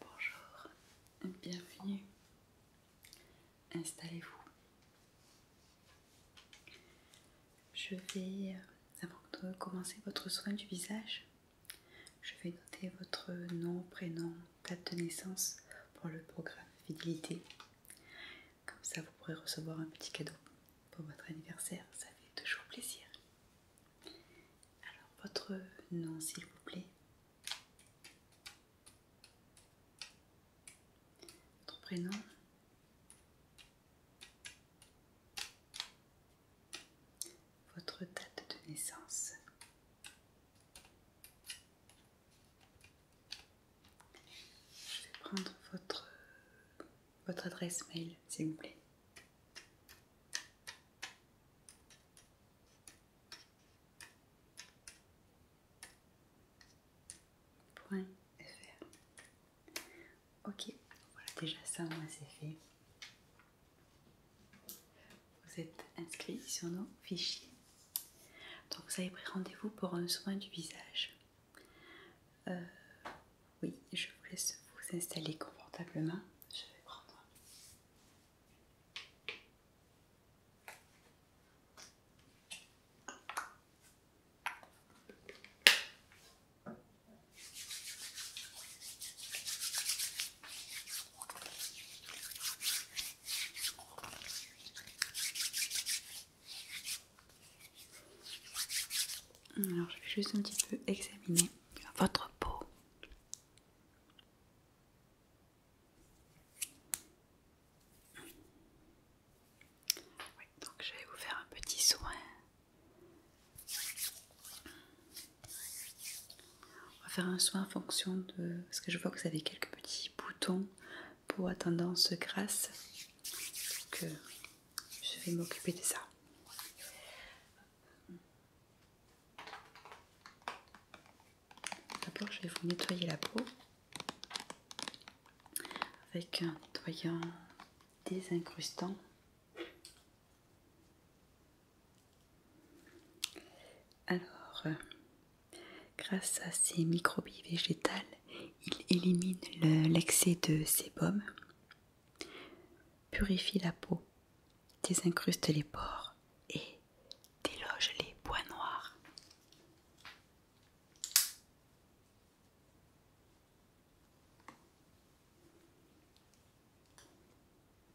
Bonjour, bienvenue. Installez-vous. Je vais, euh, avant de commencer votre soin du visage, je vais noter votre nom, prénom, date de naissance pour le programme fidélité. Comme ça, vous pourrez recevoir un petit cadeau pour votre anniversaire. Ça fait toujours plaisir. Alors, votre nom, s'il vous plaît. Votre prénom. Votre date de naissance. Je vais prendre votre, votre adresse mail, s'il vous plaît. fr. Ok, voilà déjà ça, moi c'est fait. Vous êtes inscrit sur nos fichiers. Donc vous avez pris rendez-vous pour un soin du visage. Euh, oui, je vous laisse vous installer confortablement. Je vais prendre. Alors je vais juste un petit peu examiner votre peau. donc je vais vous faire un petit soin. On va faire un soin en fonction de... Parce que je vois que vous avez quelques petits boutons, peau à tendance grasse. Donc euh, je vais m'occuper de ça. D'abord je vais vous nettoyer la peau avec un nettoyant désincrustant. Alors, grâce à ces microbies végétales, il élimine l'excès de sébum, purifie la peau, désincruste les pores et déloge les points noirs.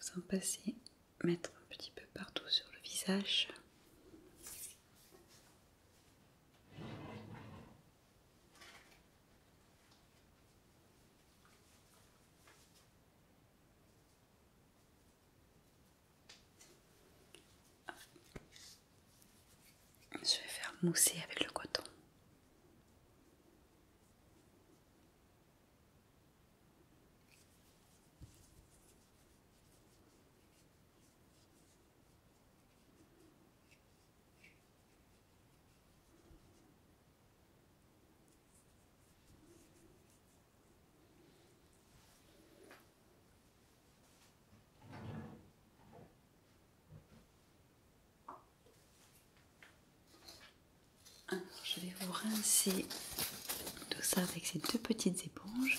vous en passez, mettre un petit peu partout sur le visage. Je vais faire mousser avec le coton je vais vous rincer tout ça avec ces deux petites éponges.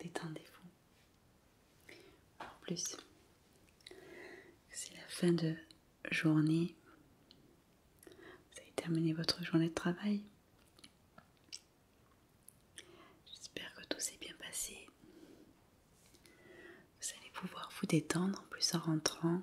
Détendez-vous. En plus, c'est la fin de journée. Vous avez terminé votre journée de travail. J'espère que tout s'est bien passé. Vous allez pouvoir vous détendre en plus en rentrant.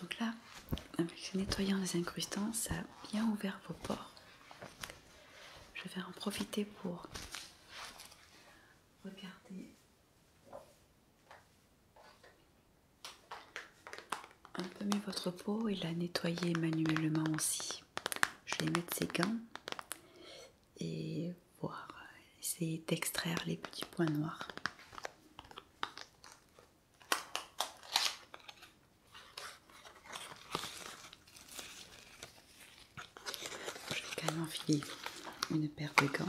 Donc là, avec le nettoyant des incrustants, ça a bien ouvert vos pores. Je vais en profiter pour regarder un peu mieux votre peau et la nettoyer manuellement aussi. Je vais mettre ses gants et voir, essayer d'extraire les petits points noirs. Je vais quand même enfiler une paire de gants.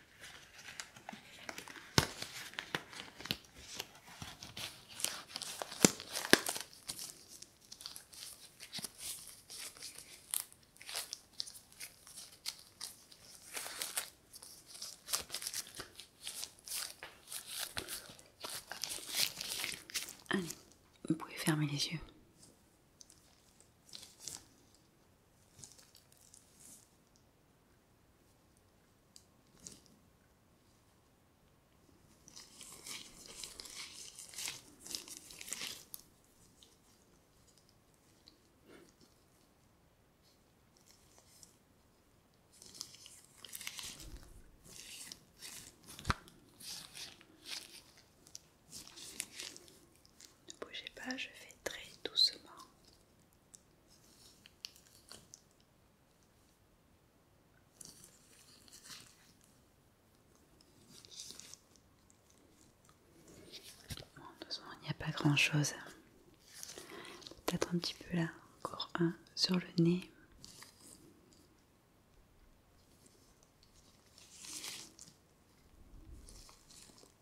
Allez, vous pouvez fermer les yeux. Ne bougez pas, je fais très doucement il n'y a pas grand chose. Peut-être un petit peu là, encore un sur le nez. Voilà,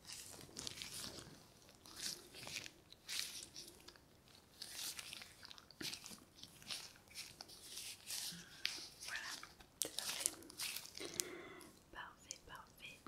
parfait. Parfait, parfait.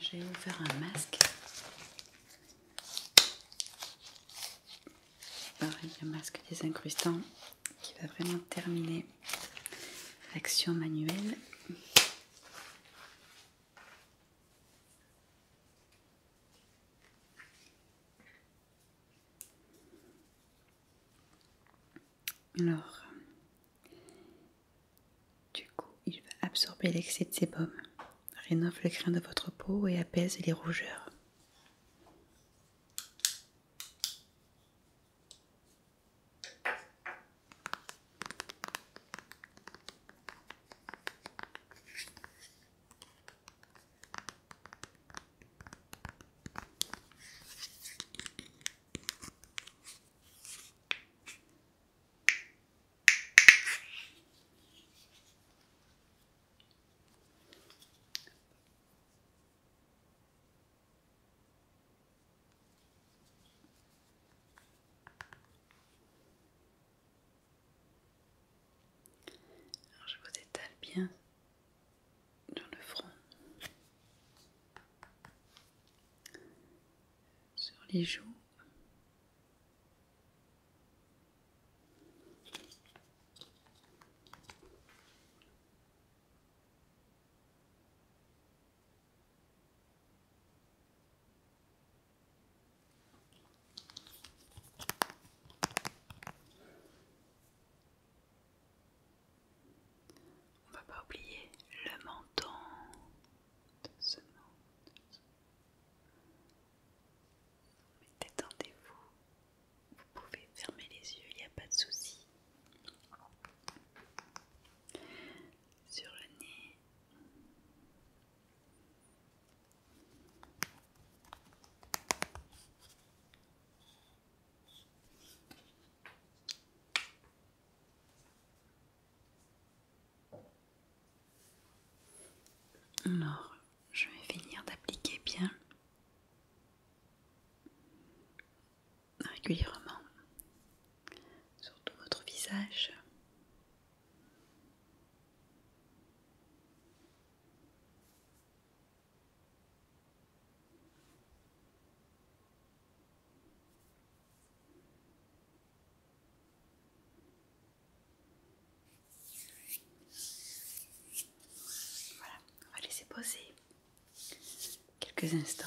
J'ai faire un masque. Pareil, le masque des incrustants qui va vraiment terminer l'action manuelle. Alors, du coup, il va absorber l'excès de sébum, rénove le grain de votre peau et apaise les rougeurs. Alors je vous étale bien dans le front, sur les joues. On ne va pas oublier le menton de ce monde. Mais détendez-vous, vous pouvez fermer les yeux, il n'y a pas de souci. Sur le nez. Alors, je vais finir d'appliquer bien régulièrement sur tout votre visage. Voilà, on va laisser poser quelques instants.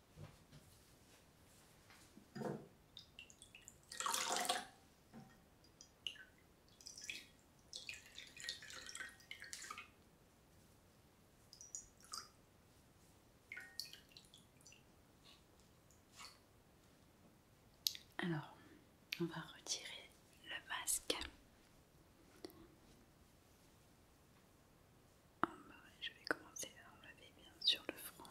Alors, on va retirer le masque. Oh, bah je vais commencer à enlever bien sûr le front.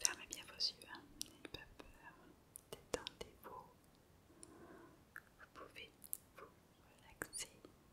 fermez bien vos yeux, hein. n'ayez pas peur, détendez-vous. Vous pouvez vous relaxer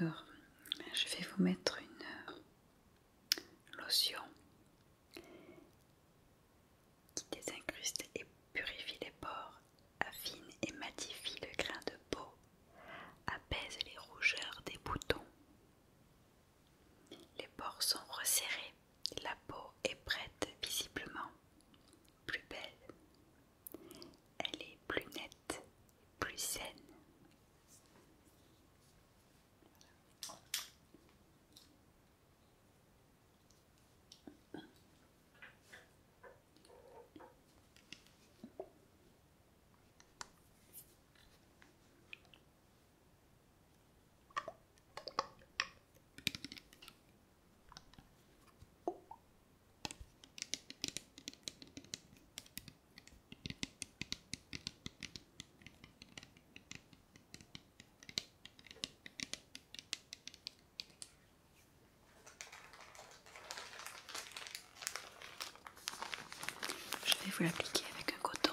Alors, je vais vous mettre une euh, lotion qui désincruste et purifie les pores, affine et matifie le grain de peau, apaise les rougeurs des boutons. Les pores sont resserrés la peau est prête visiblement, plus belle. Elle est plus nette, plus saine. Je vais vous l'appliquer avec un coton.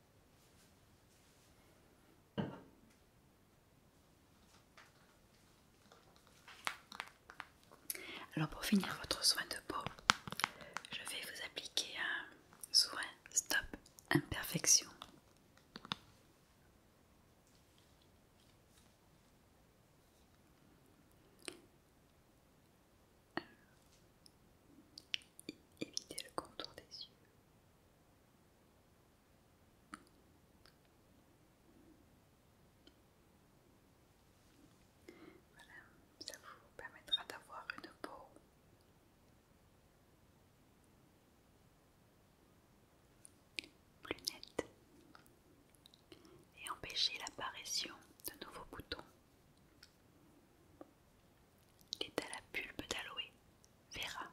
Alors pour finir votre soin de peau, je vais vous appliquer un soin stop imperfection éviter le contour des yeux. Voilà, ça vous permettra d'avoir une peau plus nette et empêcher l'apparition de nouveaux boutons. Il est à la pulpe d'aloé, Vera.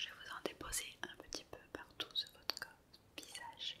Je vais vous en déposer un petit peu partout sur votre visage.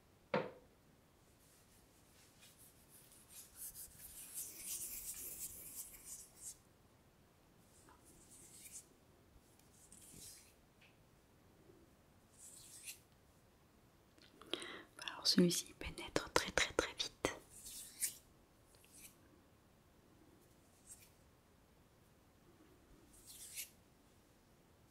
Alors celui-ci pénètre très très très vite.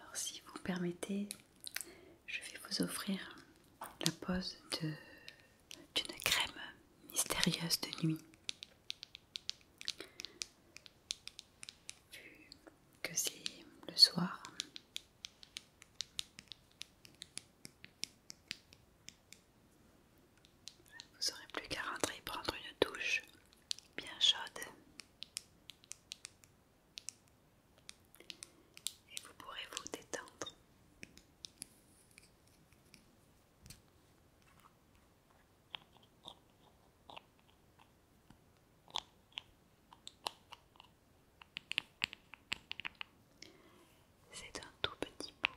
Alors si vous permettez, je vais vous offrir la pose d'une crème mystérieuse de nuit vu que si le soir. Vous n'aurez plus qu'à rentrer prendre une douche bien chaude. Et vous pourrez vous détendre. C'est un tout petit bout.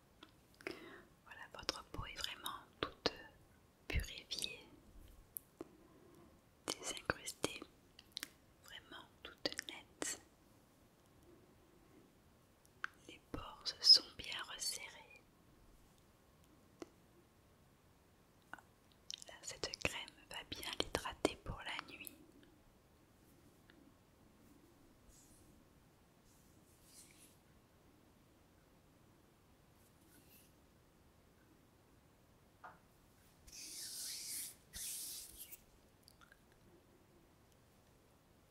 Voilà, votre peau est vraiment toute purifiée, désincrustée, vraiment toute nette. Les pores se sont bien resserrés. Cette crème va bien l'hydrater pour la nuit.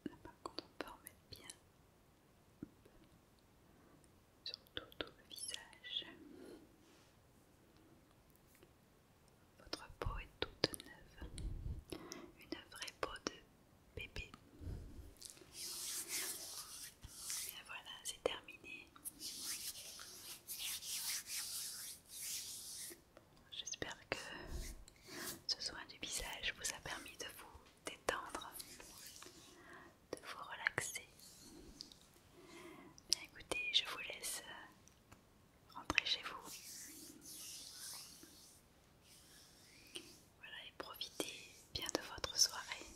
Là, par contre, on peut remettre bien sur tout le visage. Votre peau est toute neuve, une vraie peau de bébé. Et voilà, c'est terminé. J'espère que ce soin du visage vous a permis de vous détendre, de vous relaxer. Bien écoutez, je vous laisse rentrer chez vous. Voilà, et profitez bien de votre soirée.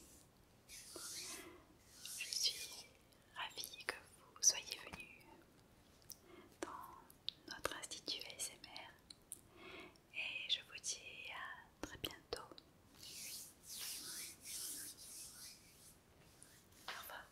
Je suis ravie que vous soyez venu dans notre institut ASMR et je vous dis à très bientôt. Au revoir.